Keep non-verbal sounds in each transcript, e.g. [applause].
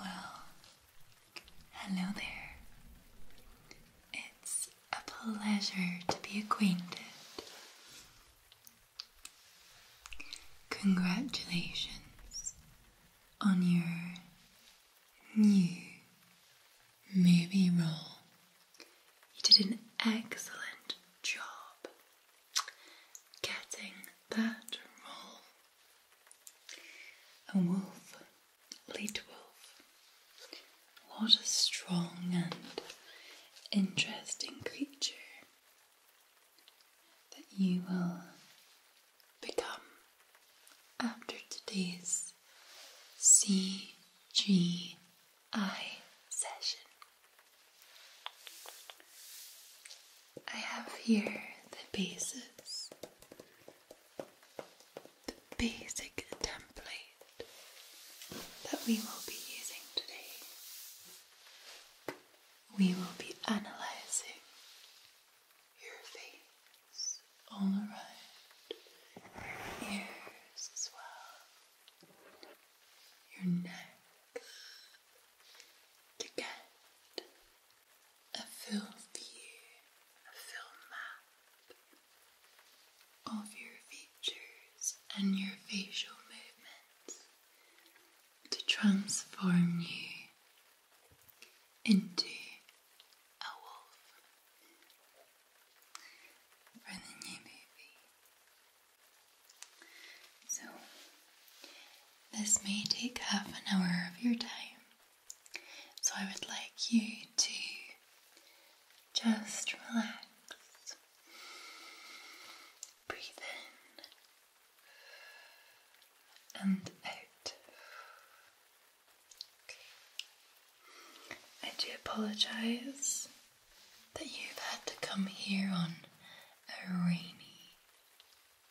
Well, hello there. It's a pleasure to be acquainted. Congratulations on your new movie role you did an excellent job getting that roll. A wolf, a lead wolf. What a strong and interesting creature that you will become after today's CG I session. I have here the basis, the basic template that we will be using today. We will be analyzing your face all around. Ears as well your neck to get a full view, a full map of your features and your facial movements to transform you into a wolf, for the new movie. So, this may take half an hour of your time, so I would like you to just relax. Breathe in and out. Okay. I do apologize that you've had to come here on a rainy,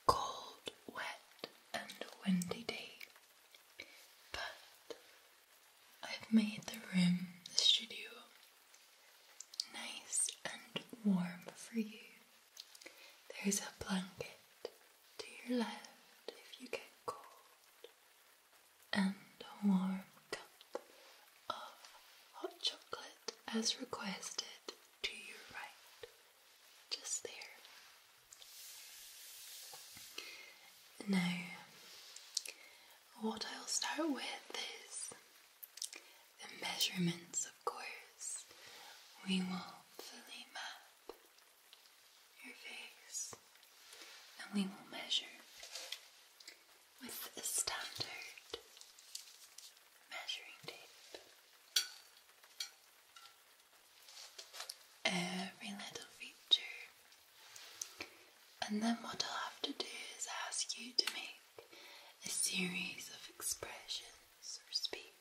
cold, wet, and windy day. But I've made the room, the studio, nice and warm for you. There's a blanket to your left if you get cold, and a warm cup of hot chocolate as requested to your right, just there. Now, what I'll start with is the measurements, of course. We will fully map your face and we will measure with a standard measuring tape. Every little feature. And then what I'll have to do is ask you to make a series of expressions or speak.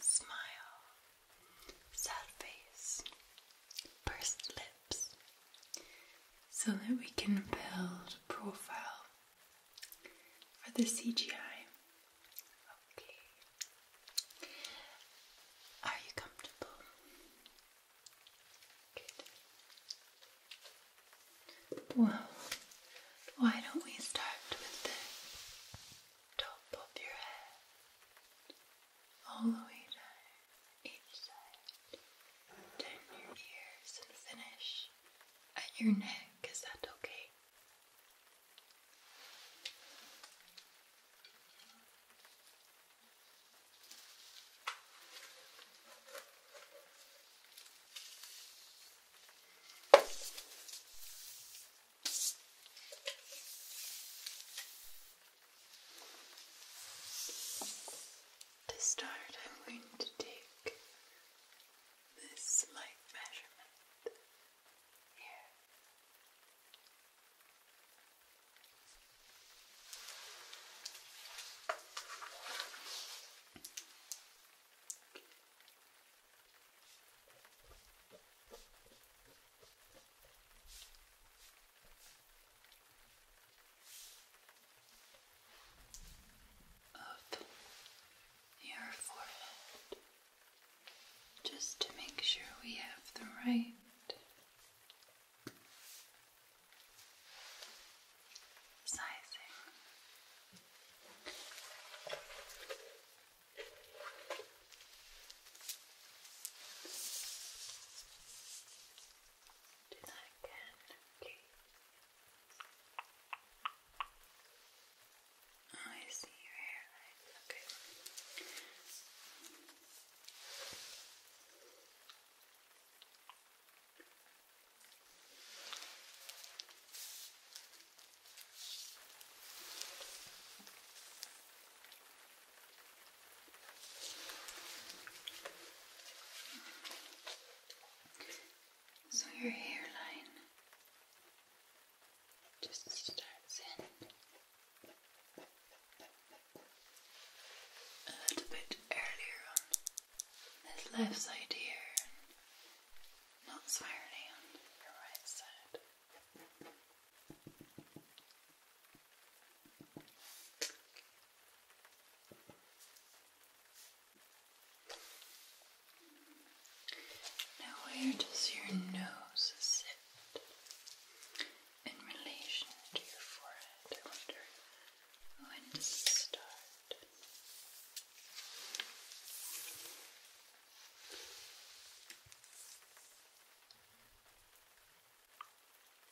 Smile, sad face, pursed lips so that we can build a profile for the CGI. Okay. Are you comfortable? Well, why don't we start with the top of your head all the way down? each side. Down your ears and finish at your neck. Is that okay? To start, I'm going to take this slight measurement here of your forehead just to make sure we have the right sizing. Do that again, okay. Oh, I see your hairline. Okay. Okay. So your hairline just starts in a little bit earlier on this left side here, not entirely on your right side. Now, where does your nose sit in relation to your forehead? I wonder when does it start?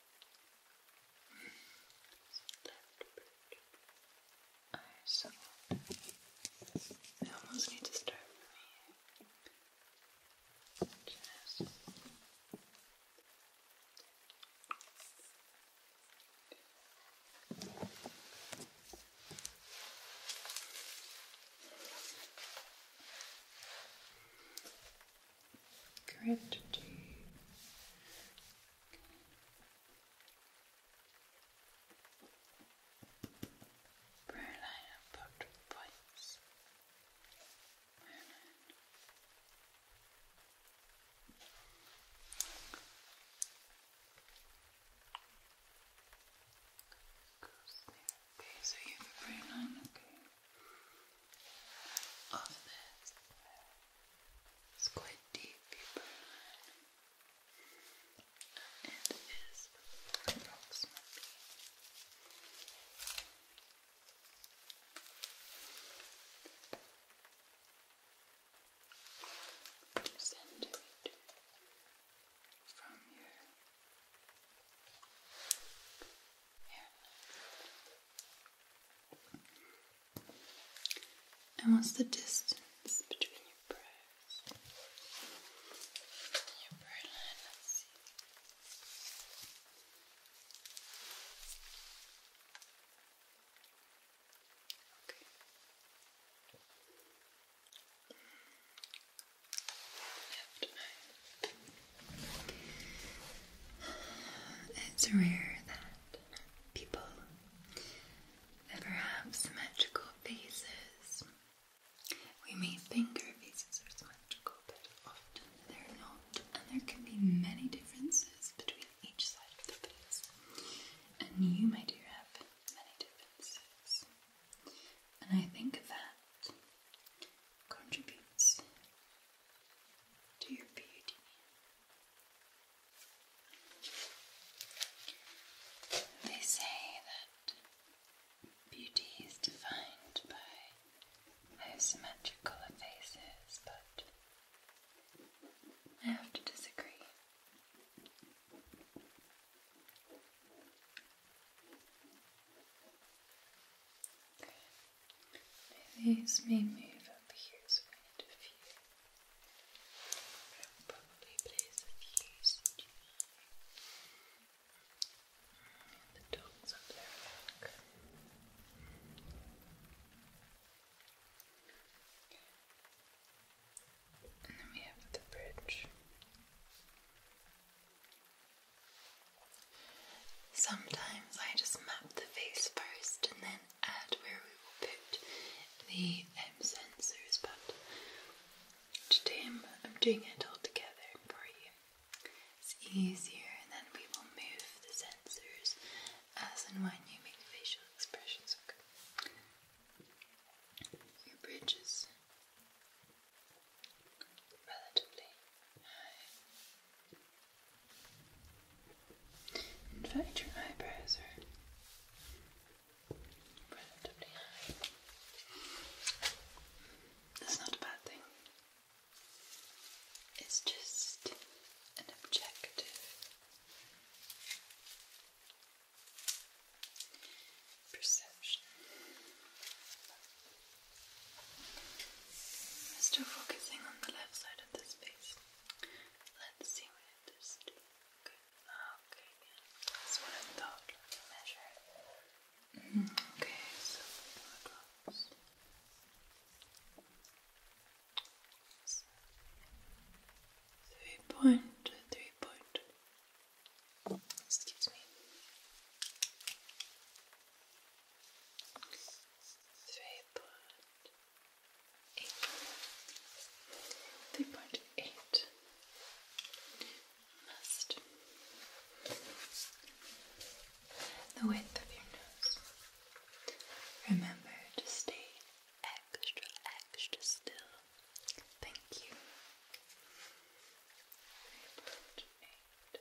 I almost need to start from here. Just Gratitude. Brown line and points. Okay, so you have a brown line, okay. Off this. It's quite deep, you burn. It is approximately two from your hairline. And what's the distance between your brows? And your brow It's rare that people ever have symmetrical faces. We may think our faces are symmetrical, but often they're not, and there can be many differences between each side of the face. And you, my dear, have many differences. And I think that contributes to your beauty. They say that beauty is defined by how symmetrical a face is, but I have to disagree. These may move up here so I need a few. I'll probably place a few CGI the dots up their back. And then we have the bridge. Sometimes I just map the face first and then add where we will put the um, sensors, but today I'm, I'm doing it all together for you. It's easier, and then we will move the sensors as and when you make facial expressions. Okay. Your bridge is relatively high. In fact, your eyebrows are relatively high. That's not a bad thing. It's just an objective perception. still focusing on the left side of this face. Let's see what it is ah, Okay, That's what I thought. Let me measure mm-hmm. Okay, So, three point, three point. Excuse me. Three point Three point eight must the width of your nose. Remember to stay extra, extra still. Thank you. Three point eight.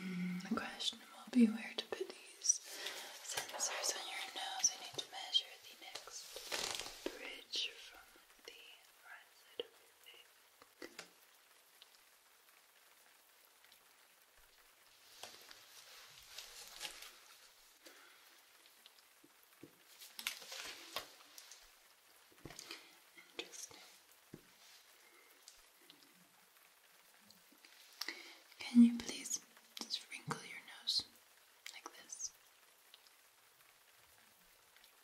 Mm, the question will be where to put these sensors on your nose. I need to measure the next bridge from the right of your face. Interesting. Can you please just wrinkle your nose like this?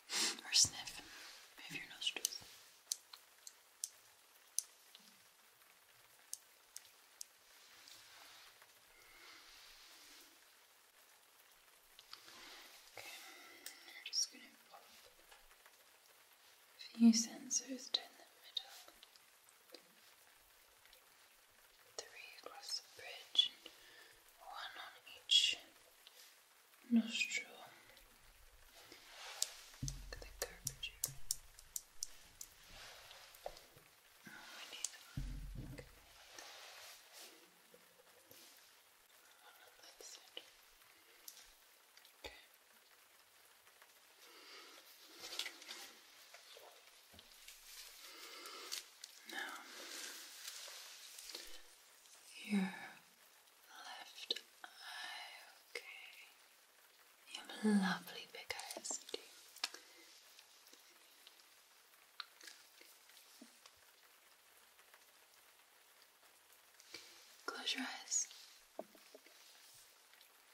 [laughs] Or sniff. Move your nostrils. Okay, we're just going to few sensors down the middle, three across the bridge, one on each nostril. Look at the curvature. Oh, I need one. Now, your left eye, okay. You have lovely big eyes, do you? Close your eyes.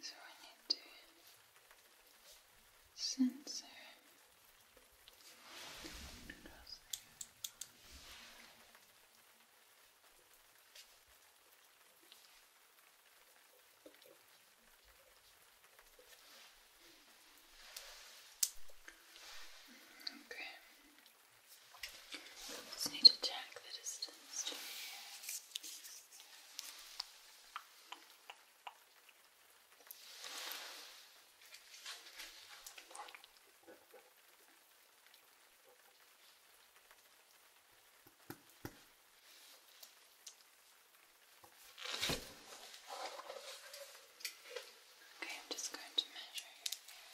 So I need to censor Okay, just need to check the distance to here. Okay, I'm just going to measure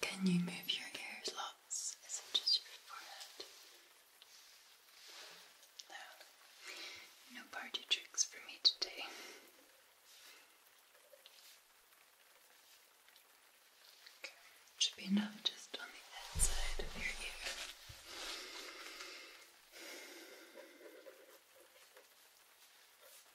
Can you move your ears lots? Is it just your forehead? No. party tricks for me today. Should be enough just on the outside of your ear.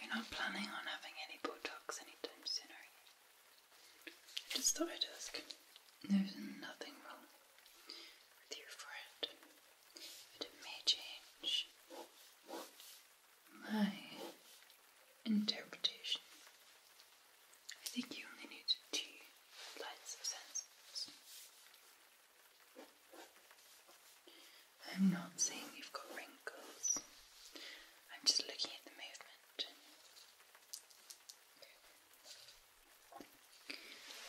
You're not planning on having any Botox anytime soon, are you? I just thought I'd ask. There's nothing wrong with your forehead, but it may change my interpretation. I think you only need two lines of sentences. I'm not saying you've got wrinkles. I'm just looking at the movement.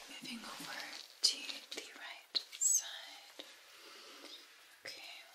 Moving over to the right side. Okay,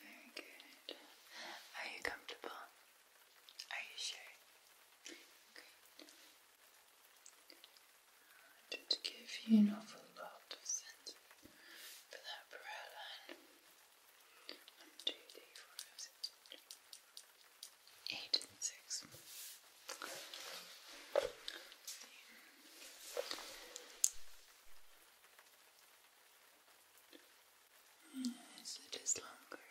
Very good. Are you comfortable? Are you sure? Great. Just give you an awful lot of sense for that brow line. One, two, three, four, five, six. One, two, three, four, five, six eight and six. so it is longer.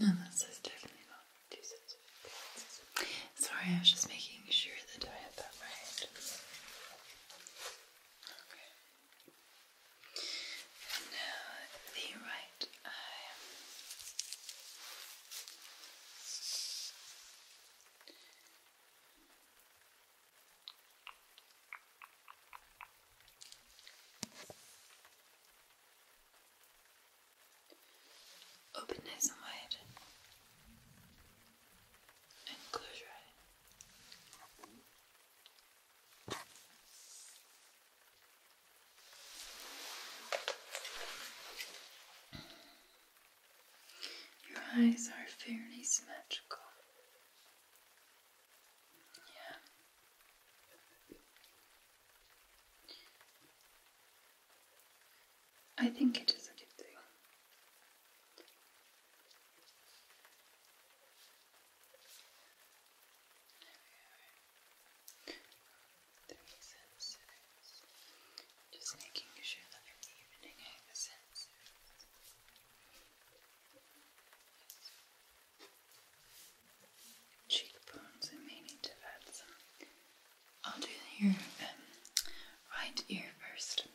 No, that definitely not two sets of appearances. Sorry, I was just making sure that I had that right. Okay. And now the right eye. Open nice wide your eyes. Your eyes are fairly symmetrical. Yeah. I think it is a good thing. Just making sure that I'm evening out the sensors. Cheekbones, I may need to add some. I'll do your um, right ear first.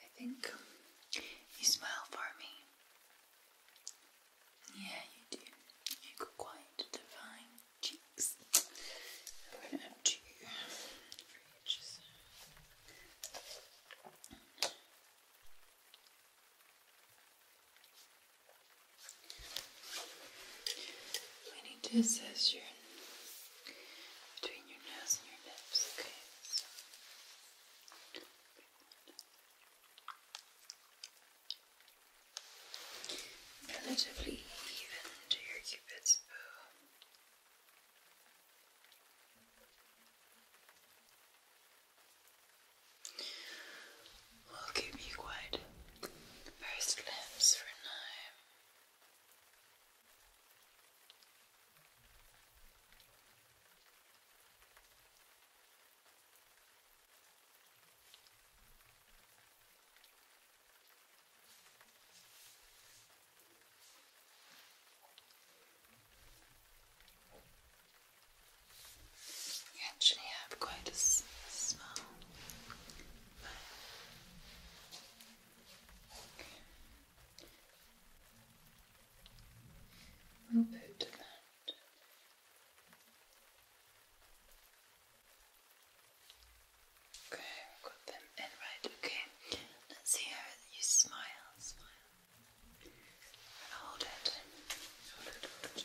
I think you smile for me. Yeah, you do. You got quite divine cheeks. I'm gonna have two for each. need to assess your between your nose and your lips, okay? Relatively even to cupid's bow. keep you quiet. First lips for now. You actually have quite a small but We'll put that Okay, we've got them in right, okay. Let's see how you smile, smile. Hold it. Hold it, hold it.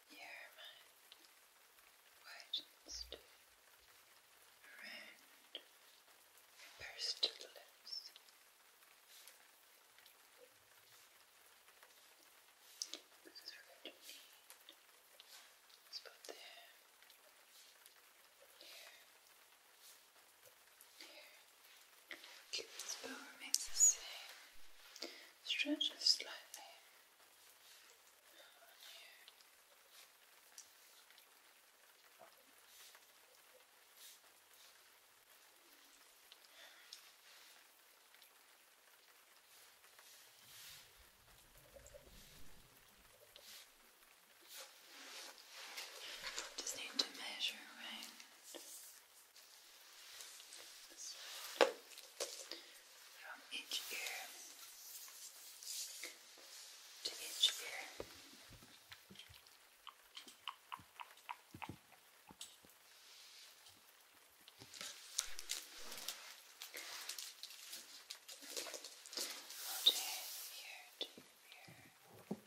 your mind widens around your pursed lips. Because we're going to there, here, here. Cupid's bow remains the same. Stretches slightly just need to measure, right? This from each ear to each ear. Okay, ear to ear.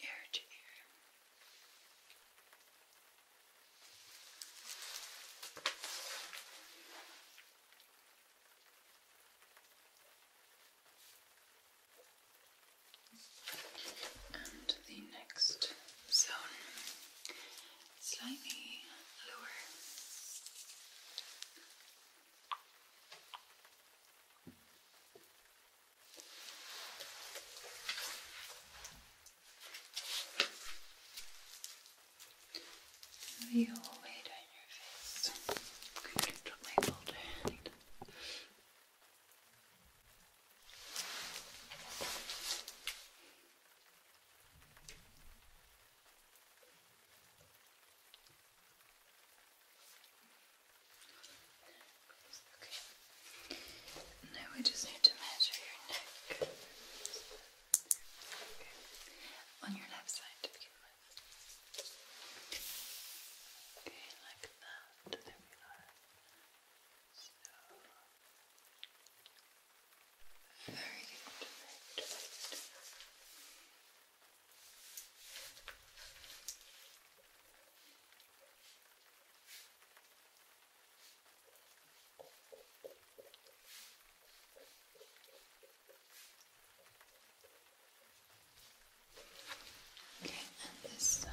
ear to ear. And the next zone slightly lower. The whole way your face. Okay, drop my folder. Okay. Now we just need to measure your neck. Okay. On your left side to begin with. Okay, like that. There we are. So very good. Right, right. Okay, and this side.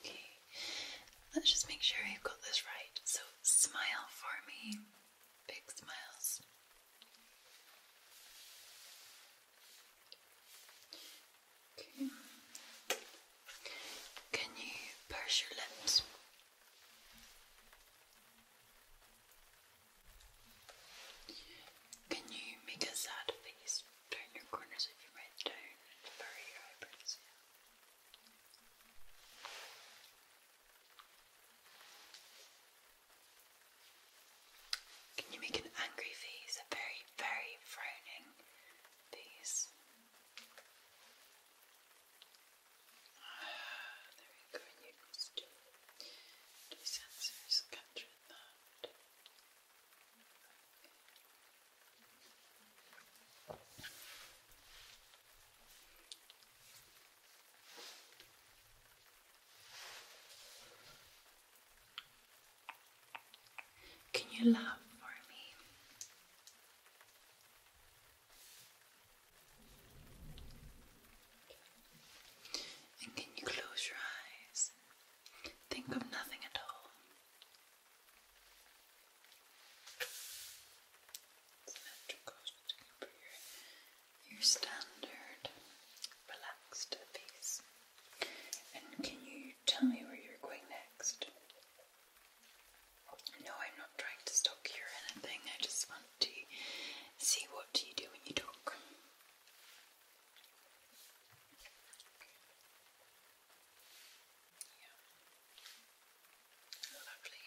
Okay, let's just make sure you've got this right. So, smile for me. Big smiles. Can you purse your lips? Can you make a sad face? Turn your corners of your mouth down and your eyebrows. Can you make an angry face? A very, very frowning face. Ah, there you just do, do that. Can you laugh for me? And can you close your eyes? Think of nothing at all. Your standard relaxed face. And can you tell me where you're going next? No, I'm not trying to stalk you or anything. I just want to see what you do when you talk. Lovely.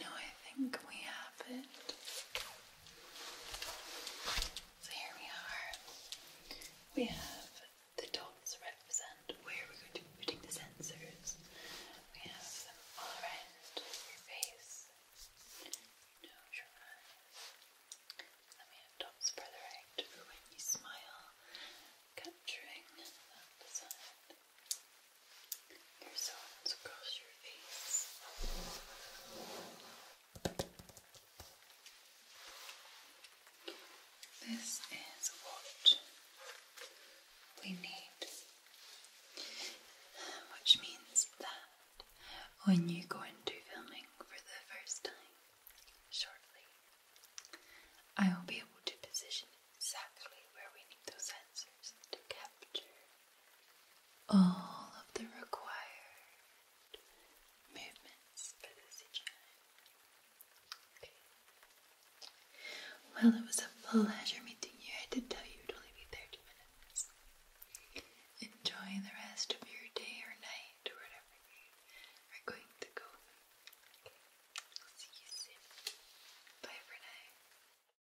No, I think we have it. So here we are. We have the dots represent where we're going to be putting the sensors. We have them all around your face, your nose, your eyes. Then we have dots further out when you smile, capturing that side. This is what we need, which means that when you go into filming for the first time shortly, I will be able to position exactly where we need those sensors to capture all of the required movements for this okay. Well, it was a pleasure meeting you. I did tell you it would only be 30 minutes. Enjoy the rest of your day or night or whatever you are going to go. Okay. See you soon. Bye for now.